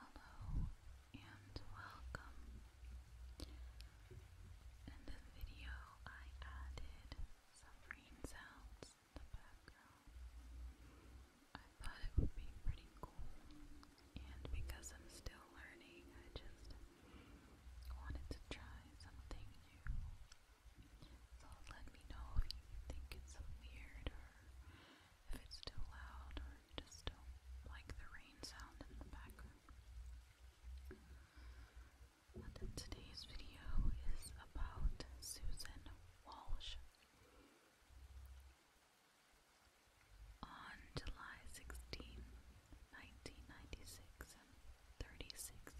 Hello and welcome. In this video, I added some rain sounds in the background. I thought it would be pretty cool, and because I'm still learning, I just wanted to try something new. So let me know if you think it's weird or if it's too loud or you just don't like the rain sound in the background. today's video is about Susan Walsh. On July 16,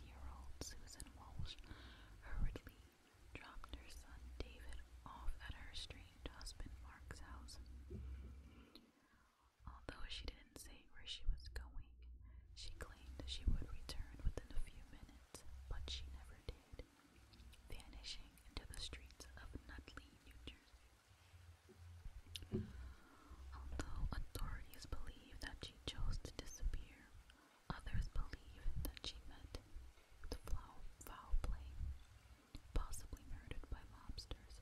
year old Susan Walsh hurriedly dropped her son David off at her estranged husband Mark's house. Although she didn't say where she was going, she claimed she would return within a few minutes, but she never did, vanishing into the streets of Nutley, New Jersey. Although authorities believe that she chose to disappear, Others believe that she met the foul play, possibly murdered by mobsters,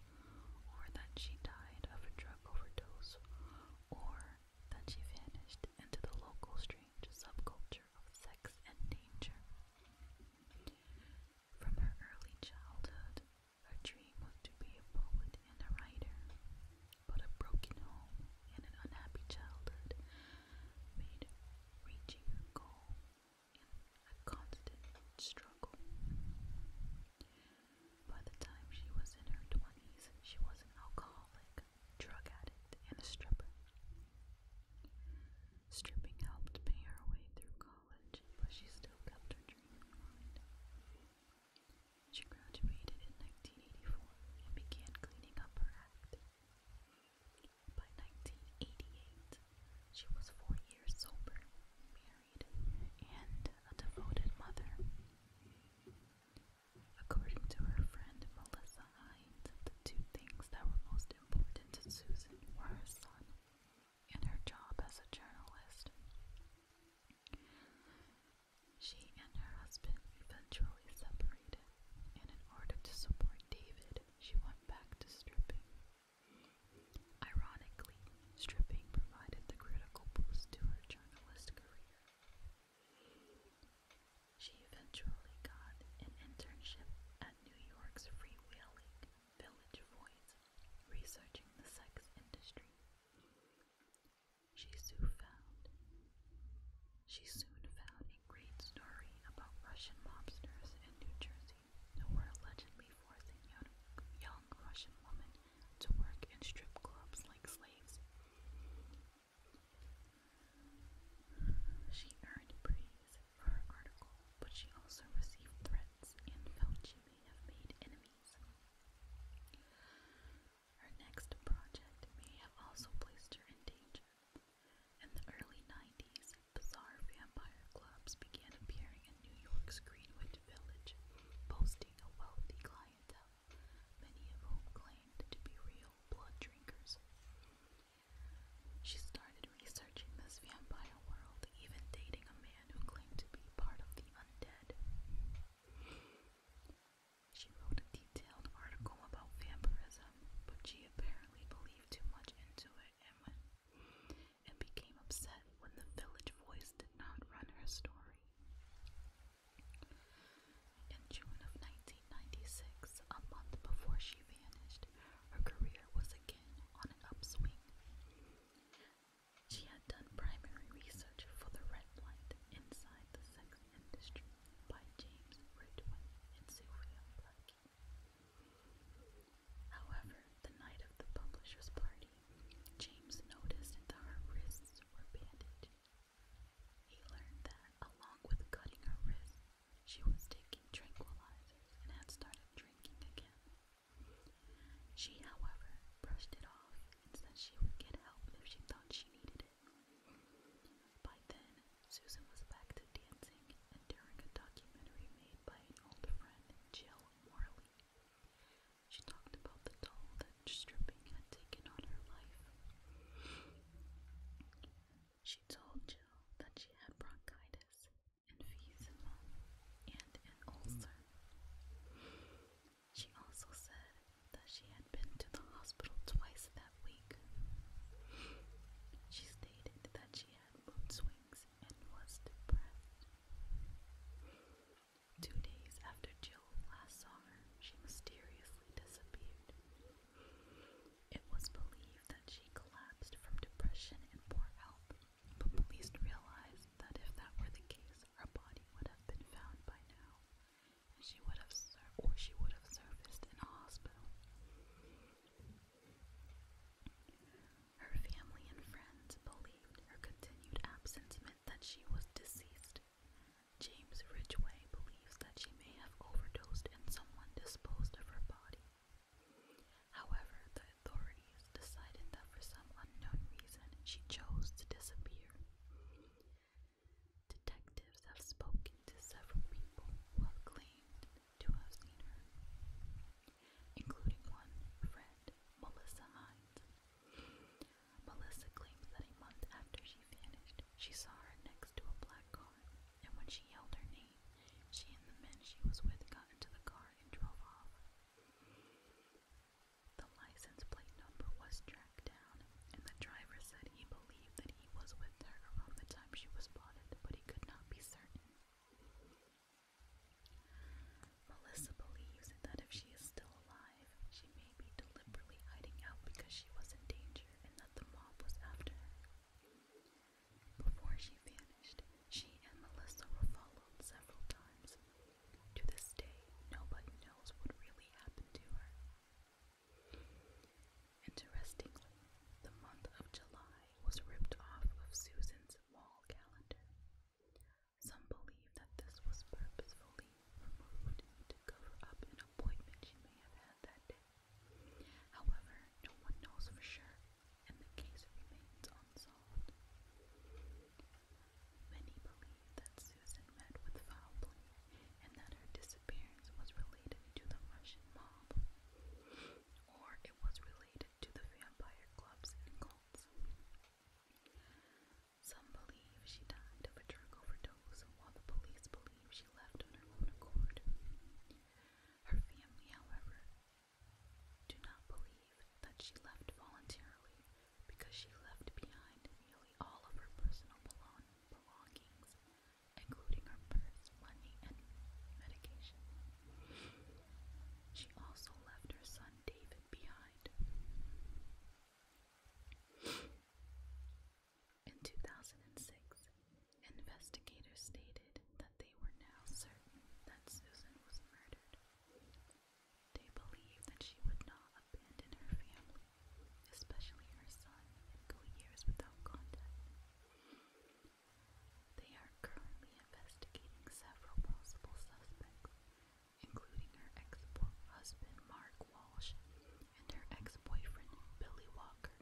or that she died of a drug overdose, or that she vanished into the local strange subculture of sex and danger. From her early childhood, her dream was to be a poet and a writer, but a broken home and an unhappy childhood made reaching her goal a constant struggle. By the time she was in her 20s, she was an alcoholic, drug addict, and a stripper. Stripping helped pay her way through college, but she still kept her dream in mind. She graduated in 1984 and began cleaning up her act. By 1988, she was four years sober, married, and a devoted mother. According to her friend Melissa Hines, the two things that were most important to Susan were her son and her job as a journalist. She and her husband eventually separated, and in order to support David, she went back to stripping. Ironically, stripping provided the critical boost to her journalist career. She eventually got an internship at New York's free-wheeling Village Voice, researching the sex industry. She soon found she soon found a great story about Russian mobsters in New Jersey who were allegedly forcing young, Russian women to work in strip clubs like slaves. She earned praise for her article, but she also received threats and felt she may have made enemies. Her next project may have also placed her in danger. In the early 90s, bizarre vampire clubs began appearing in New York's Greenwich Village, boasting a wealthy clientele, many of whom claimed to be real blood drinkers. She started researching this vampire world, even dating a man who claimed to be part of the undead. She wrote a detailed article about vampirism, but she apparently believed too much into it and, became upset when the Village Voice did not run her story. In June of 1996, a month before she vanished, her career was again on an upswing. She had done primary research for the red light inside the sex industry by James Ridwin and Sylvia Blackie. However, the night of the publisher's party, James noticed that her wrists were bandaged. He learned that, along with cutting her wrists, she was taking tranquilizers and had started drinking again. She, however, brushed it off said she would get help if she thought she needed it. By then, Susan was back to dancing and during a documentary made by an old friend, Jill Morley. She talked about the toll that stripping had taken on her life. She told Jill that she had bronchitis, emphysema, and an ulcer. She also said that she had been to the hospital twice that week. She stated that she had mood swings and was depressed. Two days after Jill last saw her, she mysteriously disappeared. It was believed that she collapsed from depression and poor health, but police realized that if that were the case, her body would have been found by now, and she would have served or she would have serviced in a hospital. Her family and friends believed her continued absence meant that she was deceased. James Ridgway believes that she may have overdosed and someone disposed of her body. However, the authorities decided that for some unknown reason she chose to disappear. Detectives have spoken to several people who have claimed to have seen her, including one friend, Melissa Hines. Melissa claims that a month after she vanished, she saw her next to a black car, and when she yelled her name, she and the men she was with got into the car and drove off. The license plate number was tracked down, and the driver said he believed that he was with her around the time she was spotted, but he could not be certain. Melissa believes that if she is still alive, she may be deliberately hiding out because she was in danger and that the mob was after her. Before she vanished, she and Melissa were followed several times. To this day, nobody knows what really happened to her. Interestingly, the month of July was ripped off of Susan's wall calendar. Some believe that this was purposefully removed to cover up an appointment she may have had that day. However, no one knows for sure and the case remains unsolved. Many believe that Susan met with foul play and that her disappearance was related to the Russian mob, or it was related to the vampire clubs and cults. Some believe she died of a drug overdose, while the police believe she left on her own accord. Her family, however, do not believe that she left voluntarily because she left behind nearly all of her personal belongings, including her purse, money, and medication. She also left her son David behind. In 2006, Investigators stated that they were now certain that Susan was murdered. They believed that she would not abandon her family, especially her son, and go years without contact. They are currently investigating several possible suspects, including her ex-husband Mark Walsh and her ex-boyfriend Billy Walker,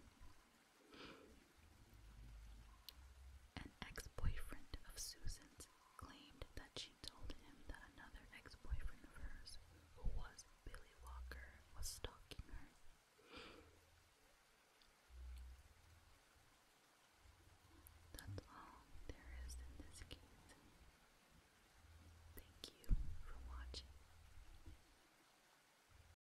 an ex-boyfriend of Susan's claimed that she told him that another ex-boyfriend of hers, who was Billy Walker, was stalking her. That's all there is in this case. Thank you for watching.